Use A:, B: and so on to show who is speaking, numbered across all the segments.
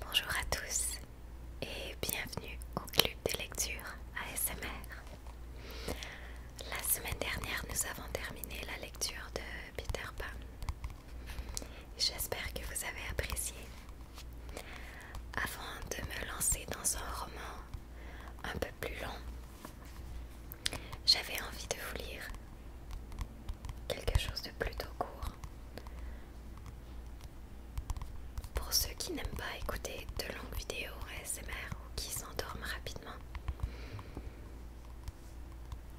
A: Bonjour à tous et bienvenue au club des lectures ASMR. La semaine dernière, nous avons terminé la lecture de Peter Pan. J'espère que vous avez apprécié. Avant de me lancer dans un roman un peu plus long, j'avais envie de vous lire quelque chose de plutôt court. Pour ceux qui n'aiment pas écouter de longues vidéos ASMR ou qui s'endorment rapidement.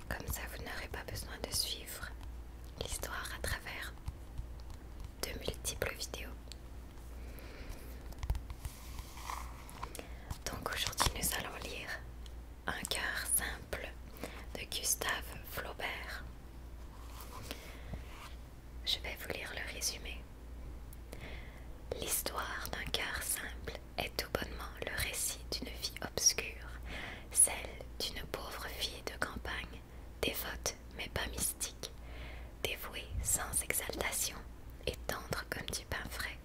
A: Comme ça, vous n'aurez pas besoin de suivre l'histoire à travers de multiples vidéos. Donc aujourd'hui nous allons lire Un cœur simple de Gustave Flaubert. Je vais vous lire le résumé. L'histoire d'un cœur simple est tout bonnement le récit d'une vie obscure, celle d'une pauvre fille de campagne, dévote mais pas mystique, dévouée sans exaltation et tendre comme du pain frais.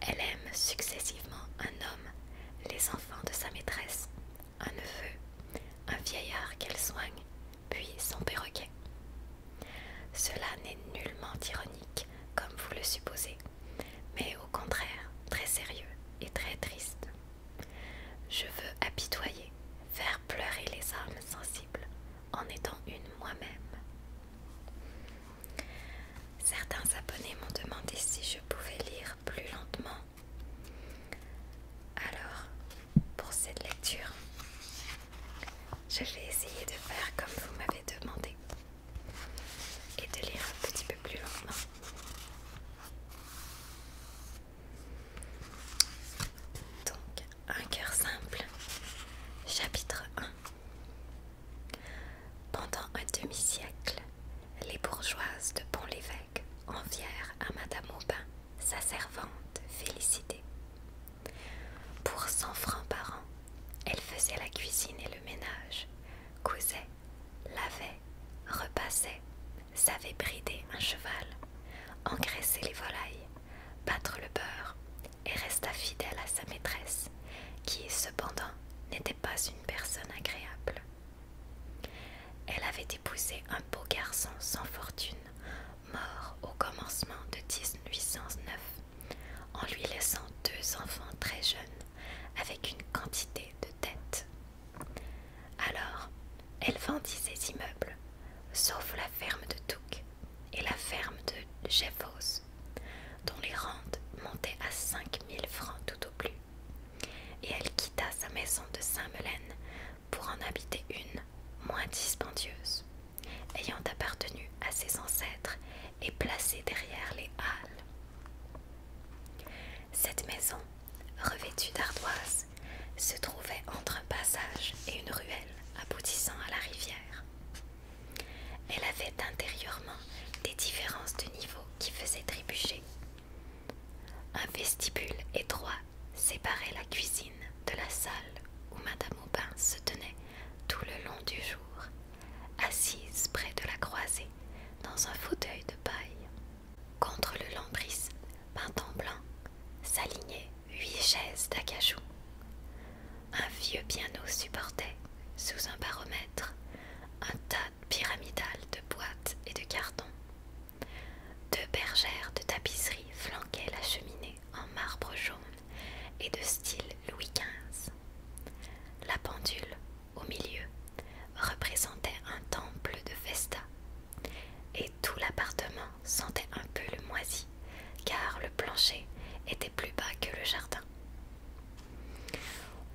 A: Elle aime successivement un homme, les enfants de sa maîtresse, un neveu, un vieillard qu'elle soigne, puis son perroquet. Cela n'est nullement ironique, comme vous le supposez, mais au contraire très sérieux et très triste. Je veux apitoyer, faire pleurer les âmes sensibles en étant une moi-même, Certains abonnés m'ont demandé si je pouvais lire plus lentement. Alors, pour cette lecture, je vais essayer de faire comme vous m'avez demandé et de lire un petit peu plus lentement. Donc, un cœur simple. Chapitre 1 Pendant un demi-siècle, les bourgeoises de Pont-l'Évêque envièrent à Madame Aubin sa servante Félicité. Pour cent francs par an, elle faisait la cuisine et le ménage, cousait, lavait, repassait, savait brider un cheval, engraisser les volailles, battre le beurre, et resta fidèle à sa maîtresse, qui cependant n'était pas une personne agréable. Elle avait épousé un beau garçon sans fortune, mort au commencement de 1809, en lui laissant deux enfants très jeunes, avec une quantité de dettes. Alors, elle vendit ses immeubles, sauf la ferme de Touques, et la ferme de Jeffos, dont les rentes montaient à 5000 francs tout au plus, et elle quitta sa maison de Saint-Melaine pour en habiter une moins dispendieuse, ayant appartenu à ses ancêtres et placée derrière les halles. Cette maison, revêtue d'ardoises, se trouvait entre un passage et une ruelle aboutissant à la rivière. Elle avait intérieurement des différences de niveau qui faisaient trébucher. Un vestibule étroit séparait la cuisine de la salle où Madame Aubin se tenait tout le long du jour, assise près de la croisée dans un fauteuil de paille. Contre le lambris peint en blanc s'alignaient huit chaises d'acajou. Un vieux piano supportait, sous un baromètre, un tas pyramidal de boîtes et de cartons. Deux bergères de tapisserie flanquaient la cheminée en marbre jaune et de style Louis XV. La pendule, au milieu, représentait un temple de Vesta, et tout l'appartement sentait un peu le moisi car le plancher était plus bas que le jardin.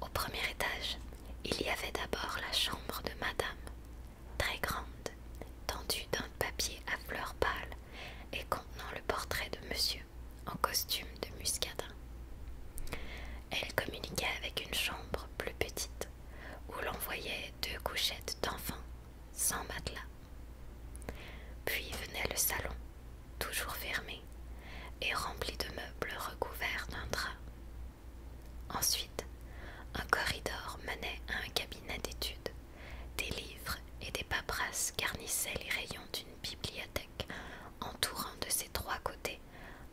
A: Au premier étage, il y avait d'abord la chambre de madame, très grande, tendue d'un papier à fleurs pâles et contenant le portrait de monsieur en costume de muscadin. Elle communiquait avec une chambre plus petite, où l'on voyait deux couchettes d'enfants sans matelas. Puis venait le salon, toujours fermé, et rempli de meubles recouverts d'un drap. Ensuite, un corridor menait à un cabinet d'études. Des livres et des paperasses garnissaient les rayons d'une bibliothèque, entourant de ses trois côtés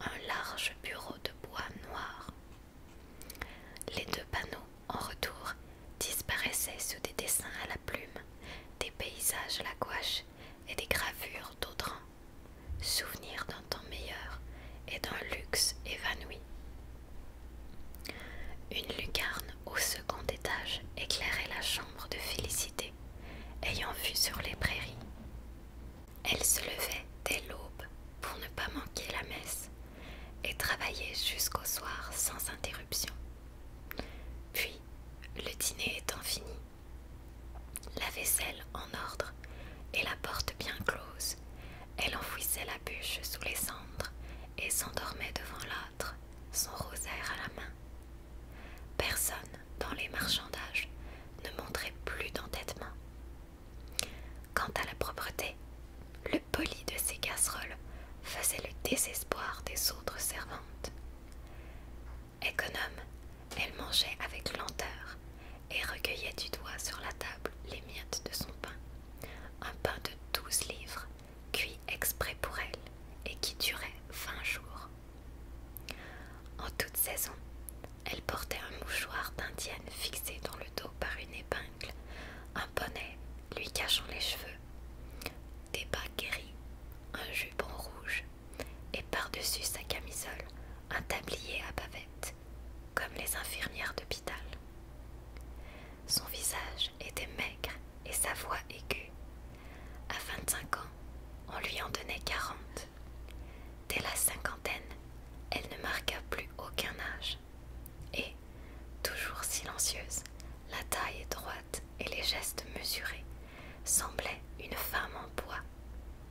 A: un large bureau de bois noir. Les deux panneaux, en retour, disparaissaient sous des dessins à la plume des paysages la gouache et des gravures d'Audran, souvenirs d'un temps meilleur et d'un luxe évanoui. Une lucarne au second étage éclairait la chambre de Félicité, ayant vu sur les prairies. Elle se levait dès l'aube pour ne pas manquer la messe et travaillait jusqu'au soir sans interruption. Puis, le dîner étant fini, la vaisselle en ordre et la porte bien close, elle enfouissait la bûche sous les cendres et s'endormait devant l'âtre, son rosaire à la main. Personne dans les marchandages ne montrait plus d'entêtement. Quant à la propreté, le poli de ses casseroles faisait le désespoir des autres servantes. Économe, elle mangeait avec lenteur et recueillait du doigt sur la table les miettes de son pain, un pain de douze livres, cuit exprès pour elle et qui durait vingt jours. En toute saison, elle portait un mouchoir d'indienne fixé dans le dos par une épingle, un bonnet lui cachant les cheveux, des bas guéris, un jupon rouge, et par-dessus sa camisole, un tablier à bavette, comme les infirmières d'hôpital. Son visage était maigre et sa voix aiguë. À 25 ans, on lui en donnait 40. Dès la cinquantaine, elle ne marqua plus aucun âge. Et, toujours silencieuse, la taille droite et les gestes mesurés, semblaient une femme en bois,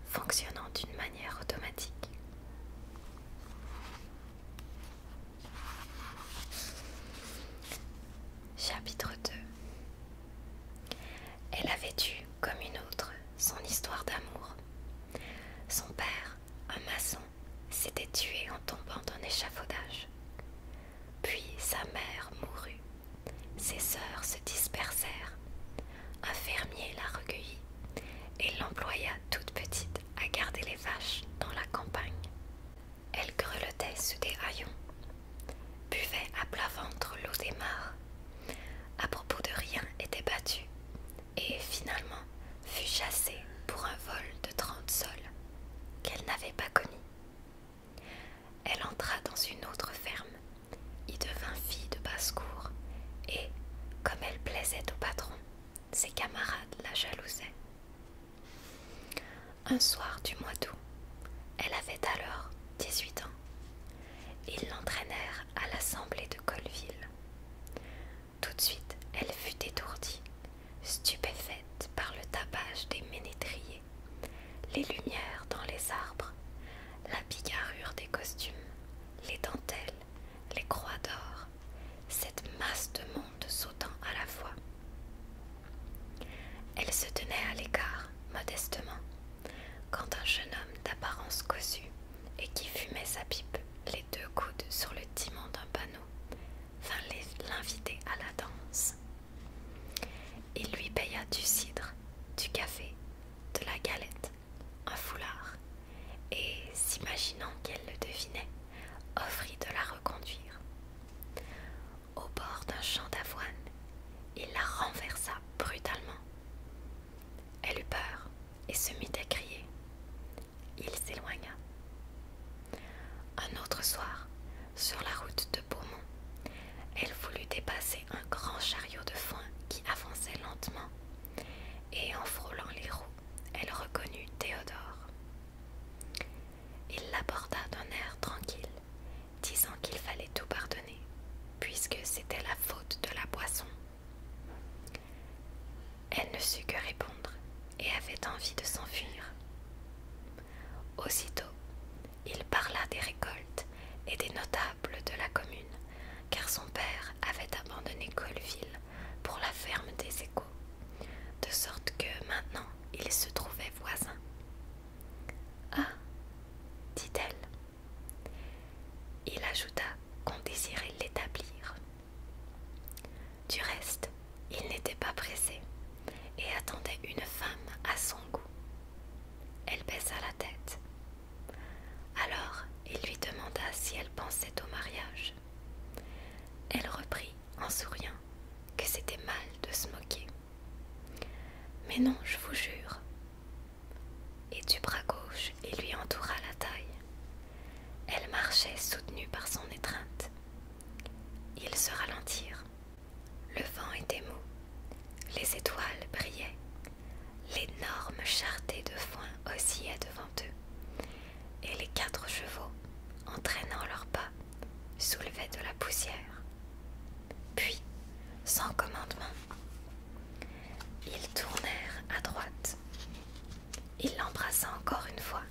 A: fonctionnant d'une manière automatique. Chapitre 2 Elle avait eu, comme une autre, son histoire d'amour. Son père, un maçon, s'était tué en tombant d'un échafaudage. Puis sa mère mourut ses sœurs se dispersèrent. Un fermier la recueillit et l'employa toute petite à garder les vaches dans la campagne. Elle grelottait sous des haillons, buvait à plat ventre l'eau des mares, à propos de rien était battue, et finalement fut chassée pour un vol de trente sols qu'elle n'avait pas connu elle entra dans une autre ferme, y devint fille de basse-cour, et, comme elle plaisait au patron, ses camarades la jalousaient. Un soir du mois d'août, elle avait alors 18 ans. Ils l'entraînèrent à l'assemblée de Colville. Tout de suite, elle fut étourdie, stupéfaite par le tapage des ménétriers les lumières dans les arbres, la bigarrure des costumes, les dentelles, les croix d'or, cette masse de monde sautant à la fois. Elle se tenait à l'écart, modestement, quand un jeune homme d'apparence cossue et qui fumait sa pipe, les deux coudes sur le timon d'un panneau, vint l'inviter à la danse. Il lui paya du cidre, du café, de la galette, un foulard, et, s'imaginant qu'elle le devinait, offrit de la reconduire. Au bord d'un champ d'avoine, il la renversa brutalement. Elle eut peur et se mit à crier. Il s'éloigna. Un autre soir, sur la route de Beaumont. Elle voulut dépasser un grand chariot de foin qui avançait lentement, et en frôlant les roues, elle reconnut Théodore. Il l'aborda d'un air tranquille, disant qu'il fallait tout pardonner, puisque c'était la faute de la boisson. Elle ne sut que répondre et avait envie de s'enfuir. Aussitôt, il parla des récoltes et des notables de la commune, car son père avait abandonné Colville pour la ferme des Échos, de sorte que maintenant il se trouvait voisin. « Ah dit-elle. Il ajouta qu'on désirait l'établir. Du reste, il n'était pas pressé et attendait une femme à son goût. Elle baissa la tête. Alors il lui demanda si elle pensait au mariage. Elle reprit en souriant que c'était mal de se moquer. Mais non, je vous jure. Et du bras gauche, il lui entoura la taille. Elle marchait soutenue par son étreinte. Ils se ralentirent. Le vent était mou, les étoiles brillaient, l'énorme charretée de foin oscillait devant eux, et les quatre chevaux, entraînant leurs pas, soulevaient de la poussière. Puis, sans commandement, ils tournèrent à droite. Il l'embrassa encore une fois.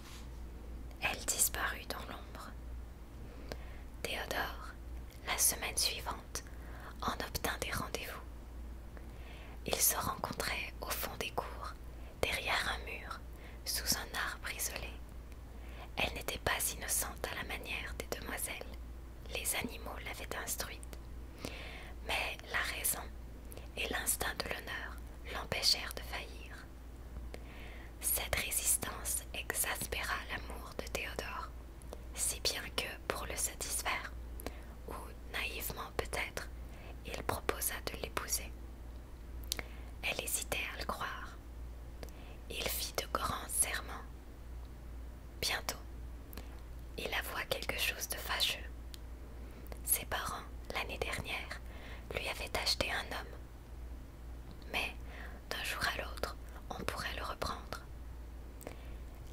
A: Elle disparut dans l'ombre. Théodore, la semaine suivante, en obtint des rendez-vous. Ils se rencontraient au fond des cours, derrière un mur, sous un arbre isolé. Elle n'était pas innocente à la manière des demoiselles. Les animaux l'avaient instruite. Mais la raison et l'instinct de l'honneur l'empêchèrent de faillir. Cette résistance exaspéra l'amour de Théodore, si bien que, pour le satisfaire, ou naïvement peut-être, il proposa de l'épouser. Elle hésitait à le croire. Il fit de grands serments. Bientôt, il avoua quelque chose de fâcheux. Ses parents, l'année dernière, lui avaient acheté un homme, mais d'un jour à l'autre, on pourrait le reprendre.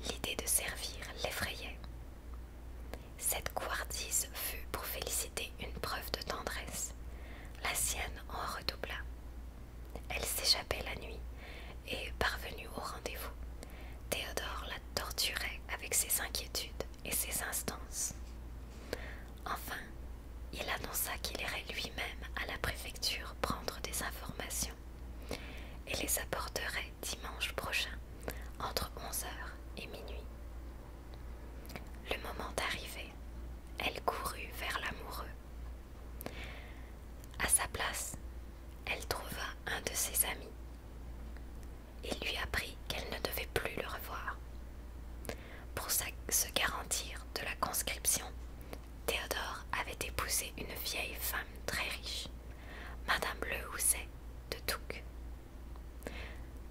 A: L'idée de servir l'effrayait. Cette couardise fut pour féliciter une preuve de tendresse. La sienne en redoubla. Elle s'échappait la nuit et, parvenue au rendez-vous, Théodore la torturait avec ses inquiétudes et ses instances. Enfin, il annonça qu'il irait lui même à la préfecture prendre des informations et les apporterait dimanche prochain entre 11h et minuit. Le moment arrivé, elle courut vers l'amoureux. À sa place, elle trouva un de ses amis. Il lui apprit qu'elle ne devait plus le revoir. Pour se garantir de la conscription, Théodore avait épousé une vieille femme très riche, Madame Le Housset de Touques.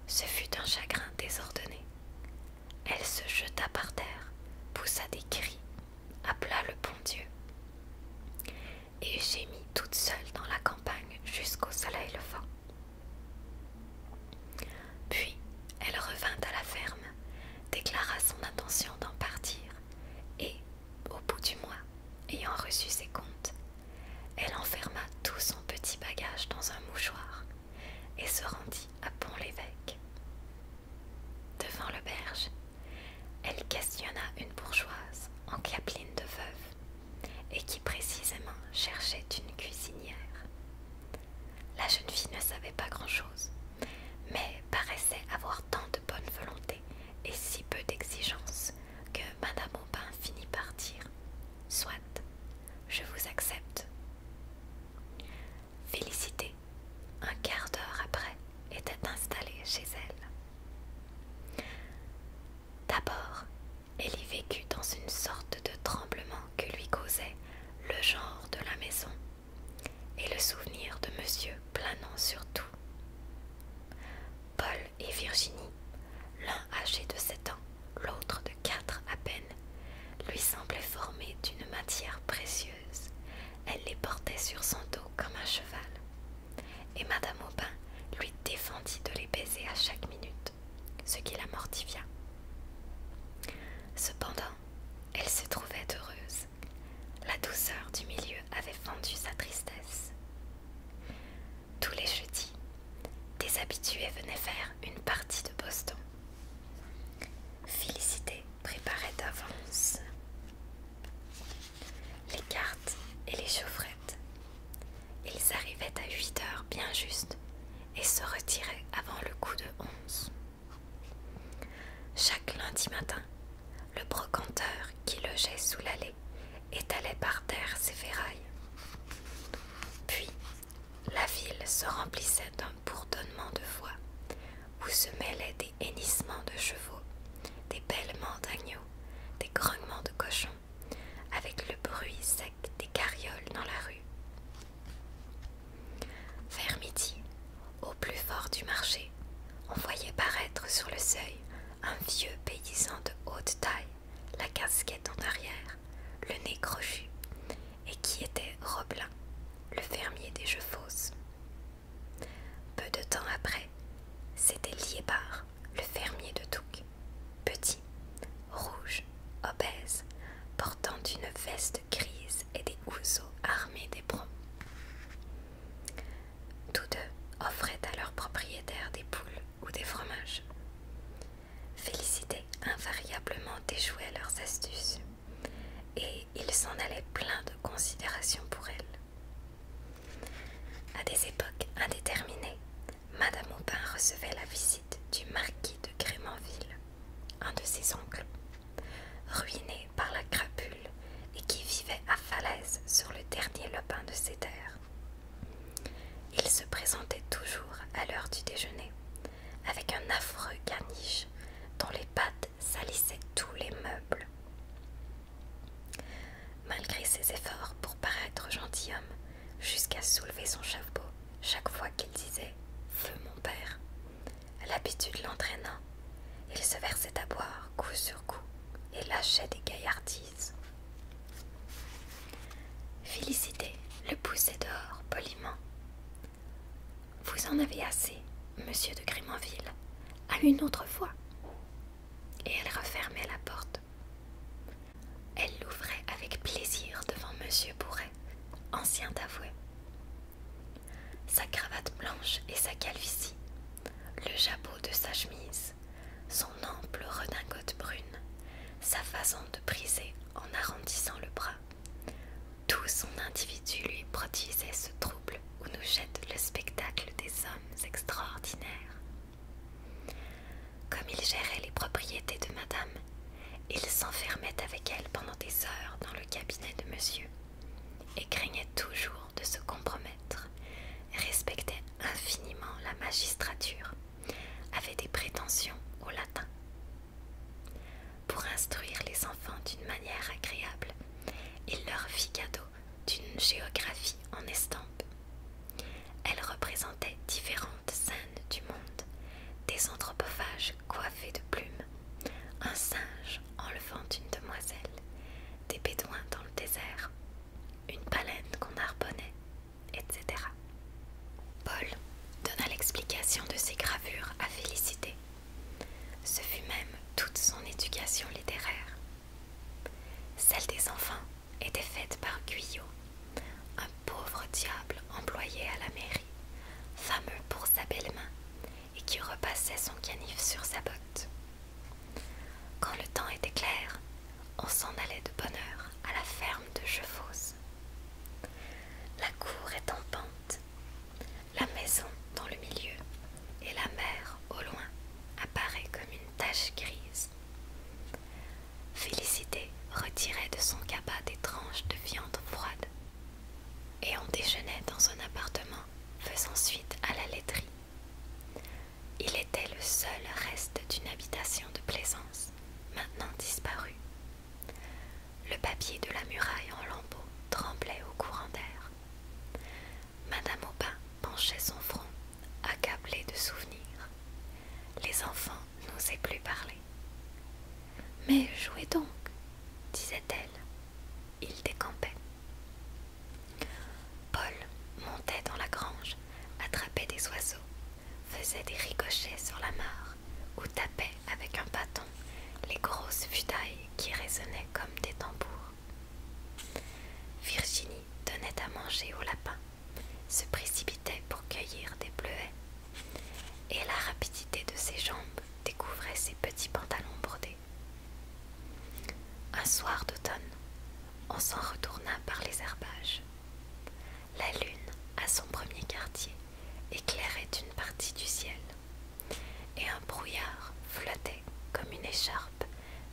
A: Ce fut un chagrin désordonné. Elle se jeta par terre, poussa des cris, appela le bon Dieu et gémit toute seule dans la campagne jusqu'au soleil levant. Puis elle revint à la ferme, déclara son intention d'en partir et, au bout du mois, ayant reçu ses comptes, elle enferma tout son petit bagage dans un mouchoir et se rendit à Pont-l'Évêque. Devant l'auberge, elle questionna une bourgeoise en capeline de veuve et qui précisément cherchait une cuisinière. La jeune fille ne savait pas grand-chose, mais paraissait avoir tant de bonne volonté et si peu d'exigence que Madame Aubin finit par dire Soit, je vous accepte. Félicité, un quart d'heure après, était installée chez elle. D'abord, elle y vécut dans une sorte de tremblement que lui causait le genre de la maison et le souvenir de monsieur planant sur tout. Paul et Virginie, l'un âgé de sept ans, l'autre de quatre à peine, lui semblaient formés d'une matière précieuse. Elle les portait sur son dos comme un cheval, et Madame Aubin lui défendit de les baiser à chaque minute, ce qui la mortifia. Cependant, elle se trouvait heureuse la douceur du milieu avait fendu sa tristesse. Tous les jeudis, des habitués venaient faire une partie de Boston. Félicité préparait d'avance les cartes et les chaufferettes. Ils arrivaient à 8 heures bien juste et se retiraient avant le coup de onze. Chaque lundi matin, le brocanteur qui logeait sous l'allée étalait par terre ses ferrailles. Puis, la ville se remplissait d'un bourdonnement de voix où se mêlaient des hennissements de chevaux, des bêlements d'agneaux, des grognements de cochons, avec le bruit sec des carrioles dans la rue. Vers midi, au plus fort du marché, on voyait paraître sur le seuil un vieux paysan de haute taille, la casquette en arrière, le nez crochu, et qui était Roblin, le fermier des jeux fausses. Peu de temps après, c'était Liébard, le fermier de Touques, petit, rouge, obèse, portant une veste grise et des housseaux armés d'éperons. Tous deux offraient à leurs propriétaires des poules ou des fromages. Félicité invariablement déjouait leurs astuces et ils s'en allaient plein de considération pour elle. À des époques indéterminées, Madame Aubin recevait la visite du marquis de Grémanville, un de ses oncles, ruiné par la crapule et qui vivait à Falaise sur le dernier lobin de ses terres. Il se présentait toujours à l'heure du déjeuner, avec un affreux caniche dont les pattes salissaient tous les meubles. Malgré ses efforts pour paraître gentilhomme, jusqu'à soulever son chapeau chaque fois qu'il disait Feu mon père, L'habitude l'entraîna. Il se versait à boire coup sur coup et lâchait des gaillardises. Félicité le poussait dehors poliment. Vous en avez assez, monsieur de Grimanville, à une autre fois. Et elle refermait la porte. Elle l'ouvrait avec plaisir devant monsieur Bourret, ancien avoué. Sa cravate blanche et sa calvitie, le jabot de sa chemise, son ample redingote brune, sa façon de briser en arrondissant le bras, tout son individu lui produisait ce trouble où nous jette le spectacle des hommes extraordinaires. Comme il gérait les propriétés de madame, il s'enfermait avec elle pendant des heures dans le cabinet de monsieur et craignait toujours de se compromettre, respectait infiniment la magistrature, avait des prétentions au latin. Pour instruire les enfants d'une manière agréable, il leur fit cadeau d'une géographie en estampe. Elle représentait différentes scènes du monde, des anthropophages coiffés de plumes, un singe enlevant une demoiselle, des bédouins dans le désert, une baleine qu'on harponnait, etc. Paul donna l'explication de ses gravures à Félicité. Ce fut même toute son éducation littéraire. Celle des enfants était faite par Guyot, un pauvre diable employé à la mairie, fameux pour sa belle main et qui repassait son canif sur sa botte. Quand le temps était clair, on s'en allait de bonne heure à la ferme de Chevaux. La cour est en pente, la maison dans le milieu et la mer au loin apparaît comme une tache grise. Félicité retirait de son cabas des tranches de viande froide et on déjeunait dans un appartement, faisant suite à la laiterie. Il était le seul reste d'une habitation de plaisance, maintenant disparue. Le papier de la muraille en lambeaux tremblait au courant d'air. Madame Aubin penchait son front, accablée de souvenirs. Les enfants n'osaient plus parler. Mais jouez donc, disait-elle. Il décampait. Paul montait dans la grange, attrapait des oiseaux, faisait des ricochets sur la mare ou tapait avec un bâton les grosses futailles qui résonnaient comme des tambours. Virginie tenait à manger au lapin, se précipitait pour cueillir des bleuets, et la rapidité de ses jambes découvrait ses petits pantalons bordés. Un soir d'automne, on s'en retourna par les herbages. La lune, à son premier quartier, éclairait une partie du ciel, et un brouillard flottait comme une écharpe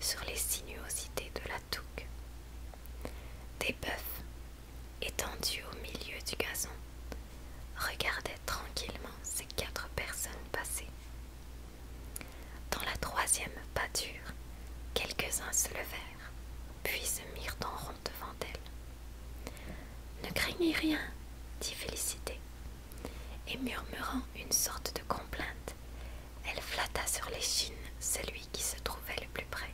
A: sur les sinuosités de la touque. Des bœufs, étendus au milieu du gazon, regardaient tranquillement ces quatre personnes passer. Dans la troisième pâture, quelques-uns se levèrent, puis se mirent en rond devant elle. Ne craignez rien, dit Félicité, et murmurant une sorte de complainte, elle flatta sur l'échine celui qui se trouvait le plus près.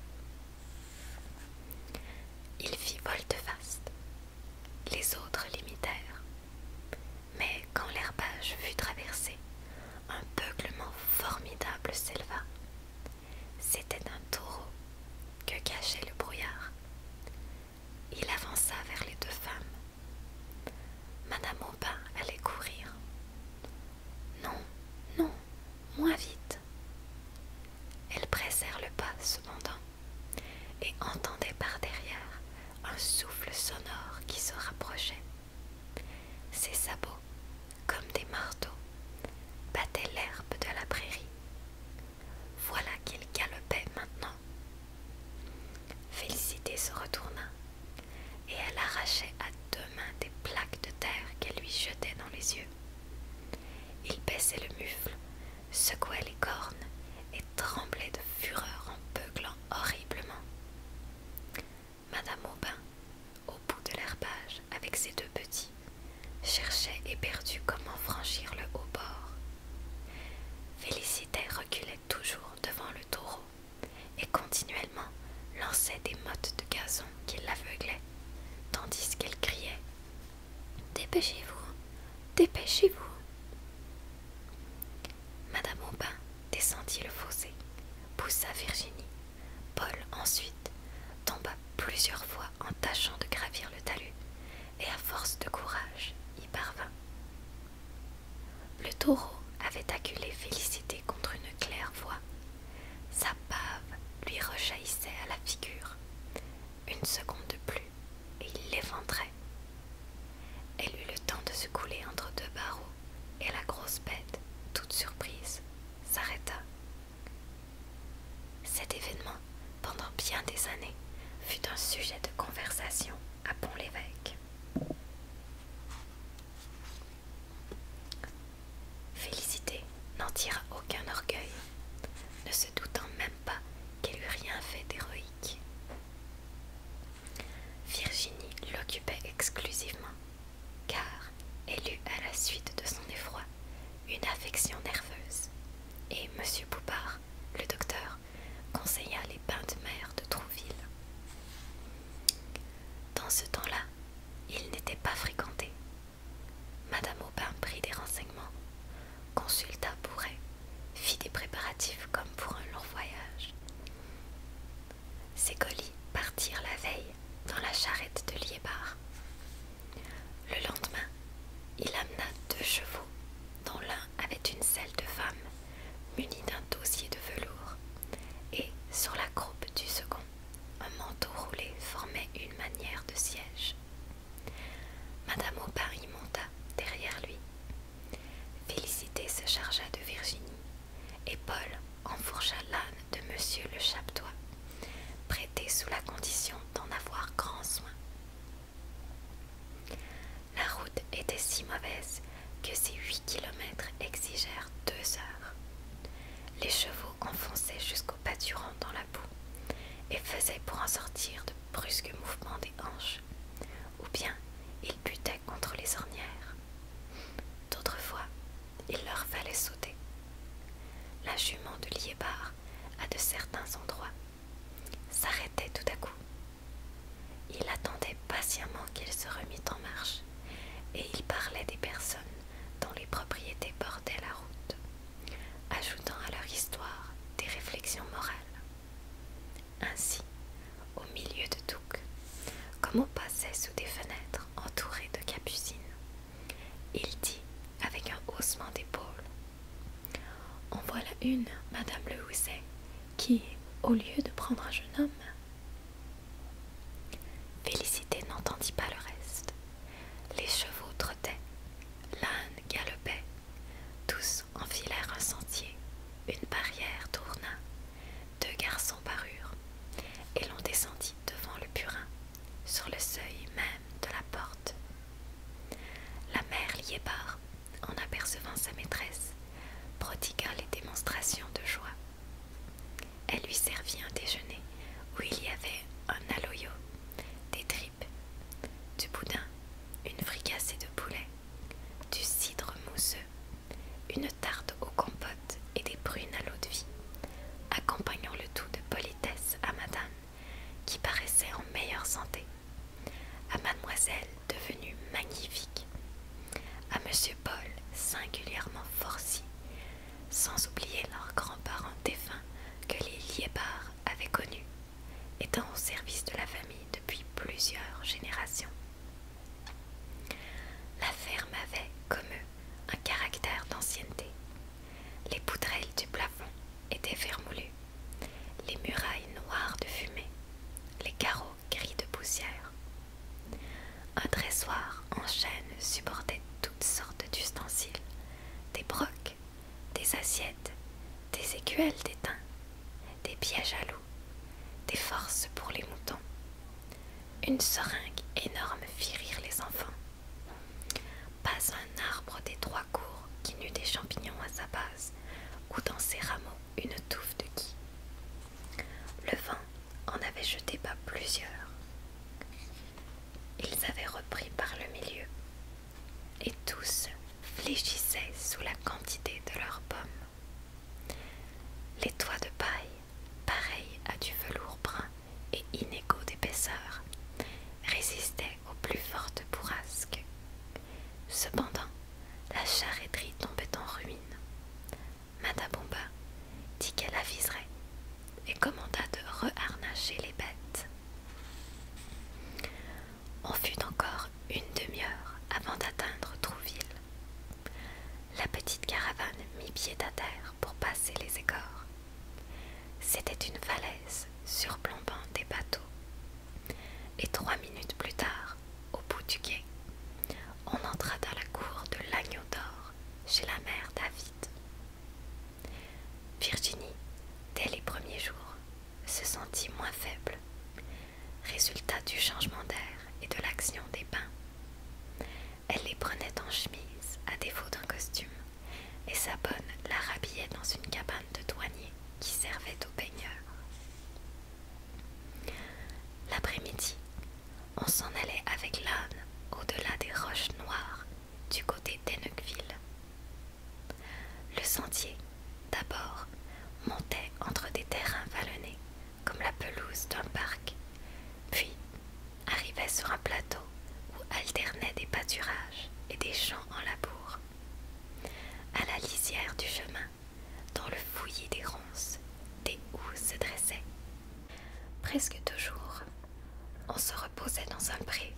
A: Il fit volte-face. Les autres l'imitèrent. Mais quand l'herbage fut traversé, un beuglement formidable s'éleva. C'était un taureau que cachait le brouillard. Il avança vers les deux femmes. Madame Aubin allait courir. Non, non, moins vite. Elles pressèrent le pas cependant et entendaient par derrière un souffle sonore qui se rapprochait. Ses sabots, comme des marteaux, battaient l'herbe de la prairie. Voilà qu'il galopait maintenant. Félicité se retourna et elle arrachait à deux mains des plaques de terre qu'elle lui jetait dans les yeux. Il baissait le mufle, secouait les cornes et tremblait de fureur en peuglant horriblement. Madame Aubin, au bout de l'herbage, avec ses deux petits, cherchait éperdu comment franchir le haut bord. Félicité reculait toujours devant le taureau et continuellement lançait des mottes de gazon qui l'aveuglaient, tandis qu'elle criait Dépêchez-vous, dépêchez-vous. Madame Aubin descendit le fossé, poussa Virginie. Paul, ensuite, tomba plusieurs fois en tâchant de gravir le talus, et à force de courage, y parvint. Le taureau avait acculé Félicité contre une claire voie. Sa pave lui rejaillissait à la figure. Une seconde de plus, et il l'éventrait, elle eut le temps de se couler entre deux barreaux, et la grosse bête, toute surprise, s'arrêta. Cet événement, pendant bien des années, fut un sujet de conversation à Pont-l'Évêque. Félicité n'en tira aucun orgueil, ne se doutant même pas qu'elle eût rien fait d'héroïque. Virginie l'occupait exclusivement, car elle eut à la suite de son effroi une affection nerveuse, et M. Poupard, le docteur, conseilla les bains de mer de Trouville. Dans ce temps-là, il n'était pas fréquenté. Madame Aubin prit des renseignements, consulta Bourret fit des préparatifs comme pour un long voyage. Ses colis partirent la veille dans la charrette de Liébar. Le lendemain, il amena deux chevaux, dont l'un avait une selle de femme munie d'un dossier de velours, et sur la croupe du second, un manteau roulé formait une manière de siège. Madame Aubin y monta derrière lui, Félicité se chargea de Virginie, et Paul enfourcha l'âne de Monsieur le Chaptois, prêté sous la condition d'en avoir grand soin. La route était si mauvaise que ces huit kilomètres exigèrent deux heures. Les chevaux enfonçaient jusqu'au pâturant dans la boue et faisaient pour en sortir de brusques mouvements des hanches, ou bien ils butaient contre les ornières. D'autres fois, il leur fallait sauter. La jument de Liébar, à de certains endroits, s'arrêtait tout à coup. Il attendait patiemment qu'il se remît en marche, et il parlait des personnes dont les propriétés bordaient la route, ajoutant à leur histoire des réflexions morales. Ainsi, au milieu de tout, comme on passait sous des fenêtres entourées de capucines, il dit avec un haussement d'épaules En voilà une, Madame Le Housset, qui, au lieu de prendre un jeune homme, Félicité n'entendit pas le reste. Les chevaux trottaient, l'âne galopait, tous enfilèrent un sentier, une barrière tourna, deux garçons parurent, et l'on descendit devant le purin, sur le seuil même de la porte. La mère Liébar, en apercevant sa maîtresse, prodigua les démonstrations de joie. Elle lui servit un déjeuner où il y avait un aloyo, des tripes, du boudin, une fricassée de poulet, du cidre mousseux, une tarte aux compotes et des prunes à l'eau de vie, accompagnant le tout de politesse à madame, qui paraissait en meilleure santé, à mademoiselle devenue magnifique, à monsieur Paul singulièrement forci, sans oublier leurs grands-parents défunts que les Liébards avaient connus, étant au service de la famille plusieurs générations. La ferme avait, comme eux, un caractère d'ancienneté. Les poutrelles du plafond étaient vermoulues, les murailles noires de fumée, les carreaux gris de poussière. Un dressoir en chêne supportait toutes sortes d'ustensiles, des brocs, des assiettes, des écuelles d'étain, des pièges à des forces pour les moutons. Une seringue énorme fit rire les enfants. Pas un arbre des trois cours qui n'eût des champignons à sa base, ou dans ses rameaux une touffe de gui. Le vent en avait jeté pas plusieurs. Ils avaient repris par le milieu, et tous fléchissaient sous la quantité de leurs pommes. Les toits de paille, pareils à du velours brun et inégaux d'épaisseur, résistaient aux plus fortes bourrasques. Cependant, la charreterie tombait en ruine. Bomba dit qu'elle aviserait et commanda de reharnacher les bêtes. On fut encore une demi-heure avant d'atteindre Trouville. La petite caravane mit pied à terre pour passer les écorces. C'était une falaise surplombant des bateaux. Et trois minutes plus tard, au bout du quai, on entra dans la cour de l'agneau d'or chez la mère David. Virginie, dès les premiers jours, se sentit moins faible résultat du changement d'air et de l'action des bains. Elle les prenait en chemise, à défaut d'un costume, et sa bonne la rhabillait dans une cabane de douanier qui servait aux baigneurs. L'après-midi, on s'en allait avec l'âne au-delà des roches noires du côté d'Ennecville. Le sentier, d'abord, montait entre des terrains vallonnés comme la pelouse d'un parc, puis arrivait sur un plateau où alternaient des pâturages et des champs en labour. À la lisière du chemin, dans le fouillis des ronces, des houes se dressaient. Presque toujours, on se reposait dans un pré,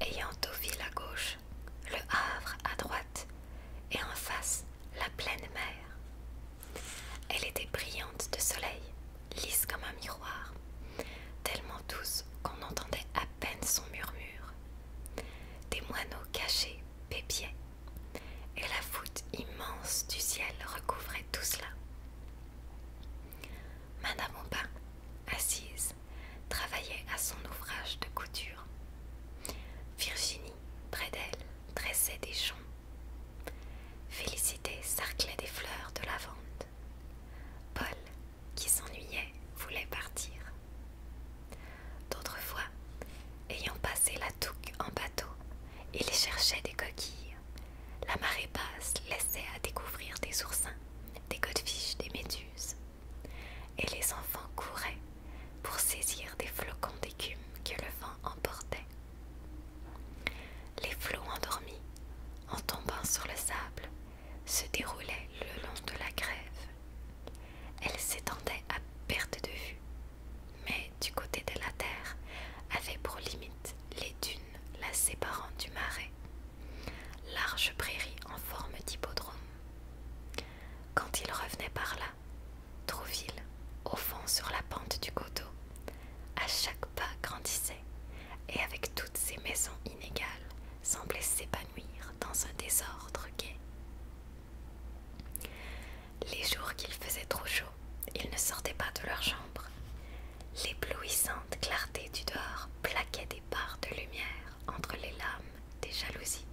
A: ayant Deauville à gauche, le Havre à droite, et en face la pleine mer. Elle était brillante de soleil, lisse comme un miroir, tellement douce qu'on entendait à peine son murmure. Des moineaux cachés pépiaient, et la voûte immense du ciel recouvrait tout cela. Madame Aubin, assise, travaillait à son ouvrage de couture. Virginie près d'elle, dressait des champs. Félicité cerclait des fleurs de lavande. Paul, qui s'ennuyait, voulait partir. D'autres fois, ayant passé la touque en bateau, il cherchait des coquilles. La marée basse laissait à découvrir des oursins, des godfiches, des méduses. Et les enfants couraient pour saisir des flocons d'écume que le vent emportait. Les flots endormis, en tombant sur le sable, se déroulaient le long de la grève. Elle s'étendait à perte de vue, mais du côté de la terre avait pour limite les dunes la séparant du marais, large prairie en forme d'hippodrome. Quand il revenait par là, Trouville, au fond sur la pente du coteau, à chaque pas grandissait, et avec toutes ces maisons inégales, semblait s'épanouir dans un désordre gai. Les jours qu'il faisait trop chaud, ils ne sortaient pas de leur chambre. L'éblouissante clarté du dehors plaquait des barres de lumière entre les lames des jalousies.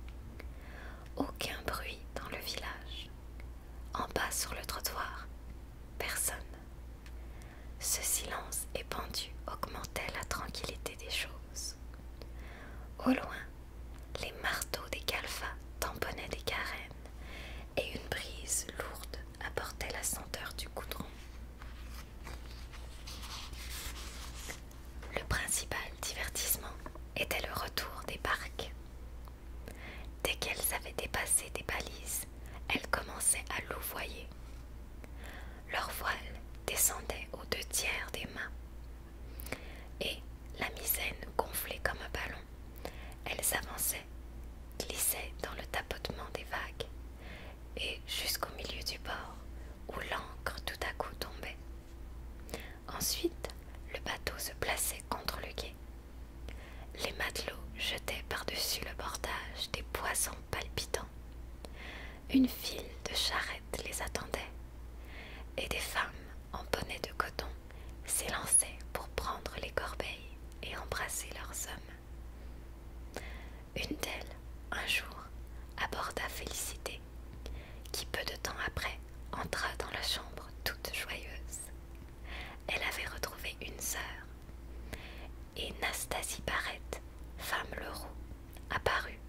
A: Aucun bruit dans le village, en bas sur le trottoir, personne. Ce silence épandu augmentait la tranquillité des choses. Au loin, les marteaux des calfas tamponnaient des carènes et une brise lourde apportait la senteur du coudron. Le principal divertissement était le retour des barques. Dès qu'elles avaient dépassé des balises, elles commençaient à louvoyer. Leur voile descendait aux deux tiers des mâts. Et, la misaine gonflée comme un ballon, elles avançaient, glissaient dans le tapotement des vagues, et jusqu'au milieu du bord, où l'ancre tout à coup tombait. Ensuite, le bateau se plaçait contre le quai. Les matelots jetaient par-dessus le bordage des poissons palpitants. Une file de charrettes les attendait, et des femmes en bonnet de coton s'élançaient pour prendre les corbeilles et embrasser leurs hommes. Une d'elles, un jour, aborda Félicité, qui peu de temps après entra dans la chambre toute joyeuse. Elle avait retrouvé une sœur. Et Nastasie Barrette, femme Leroux, apparut,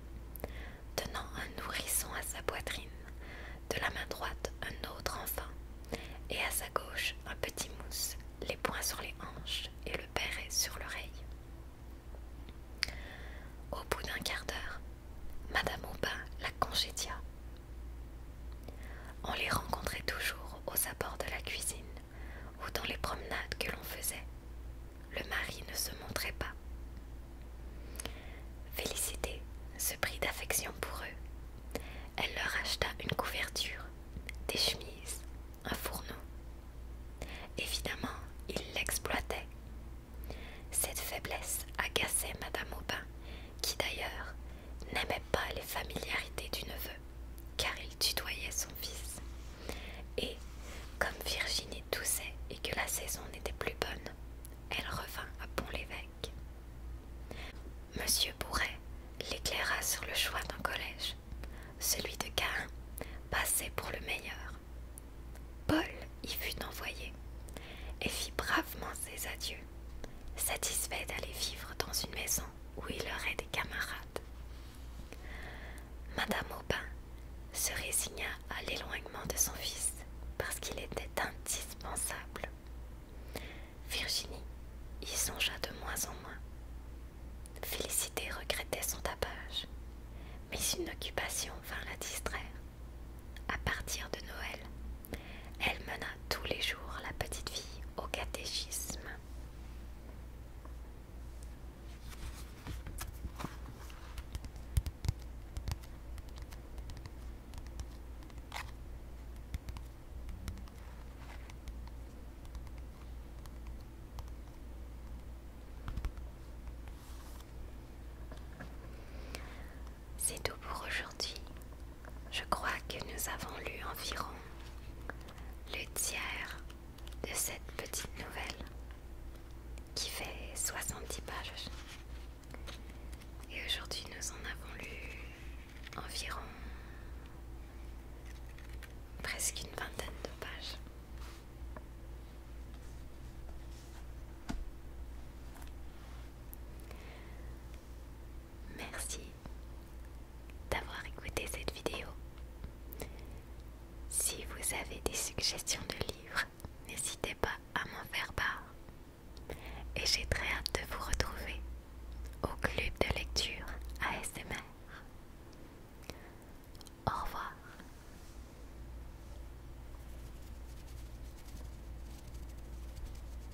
A: tenant un nourrisson à sa poitrine, de la main droite un autre enfant, et à sa gauche un petit mousse, les poings sur les hanches et le béret sur l'oreille. Au bout d'un quart d'heure, Madame Aubin la congédia. On les rencontrait toujours aux abords de la cuisine ou dans les promenades que l'on faisait. Le mari ne se montrait pas. Félicité se prit d'affection pour eux. Elle leur acheta une couverture, des chemises, un fourneau. Évidemment, ils l'exploitaient. Cette faiblesse agaçait Madame Aubin qui d'ailleurs n'aimait pas les familiarités du neveu, car il tutoyait son fils. Et comme Virginie toussait et que la saison n'était plus bonne, elle revint à Pont-l'Évêque. Monsieur Bourret l'éclaira sur le choix d'un collège. Celui de Caen passait pour le meilleur. Paul y fut envoyé et fit bravement ses adieux satisfait d'aller vivre dans une maison où il aurait des camarades. Madame Aubin se résigna à l'éloignement de son fils parce qu'il était indispensable. Virginie y songea de moins en moins. Félicité regrettait son tapage, mais une occupation vint la distraire. À partir de Noël, elle mena tous les jours la petite fille au catéchisme. C'est tout pour aujourd'hui je crois que nous avons lu environ le tiers de cette petite nouvelle qui fait 70 pages. Et aujourd'hui, nous en avons lu environ presque une vingtaine de pages. Merci d'avoir écouté cette vidéo. Si vous avez des suggestions de livres, n'hésitez pas à m'en faire part. Et j'ai très hâte de vous retrouver au club de lecture ASMR. Au revoir.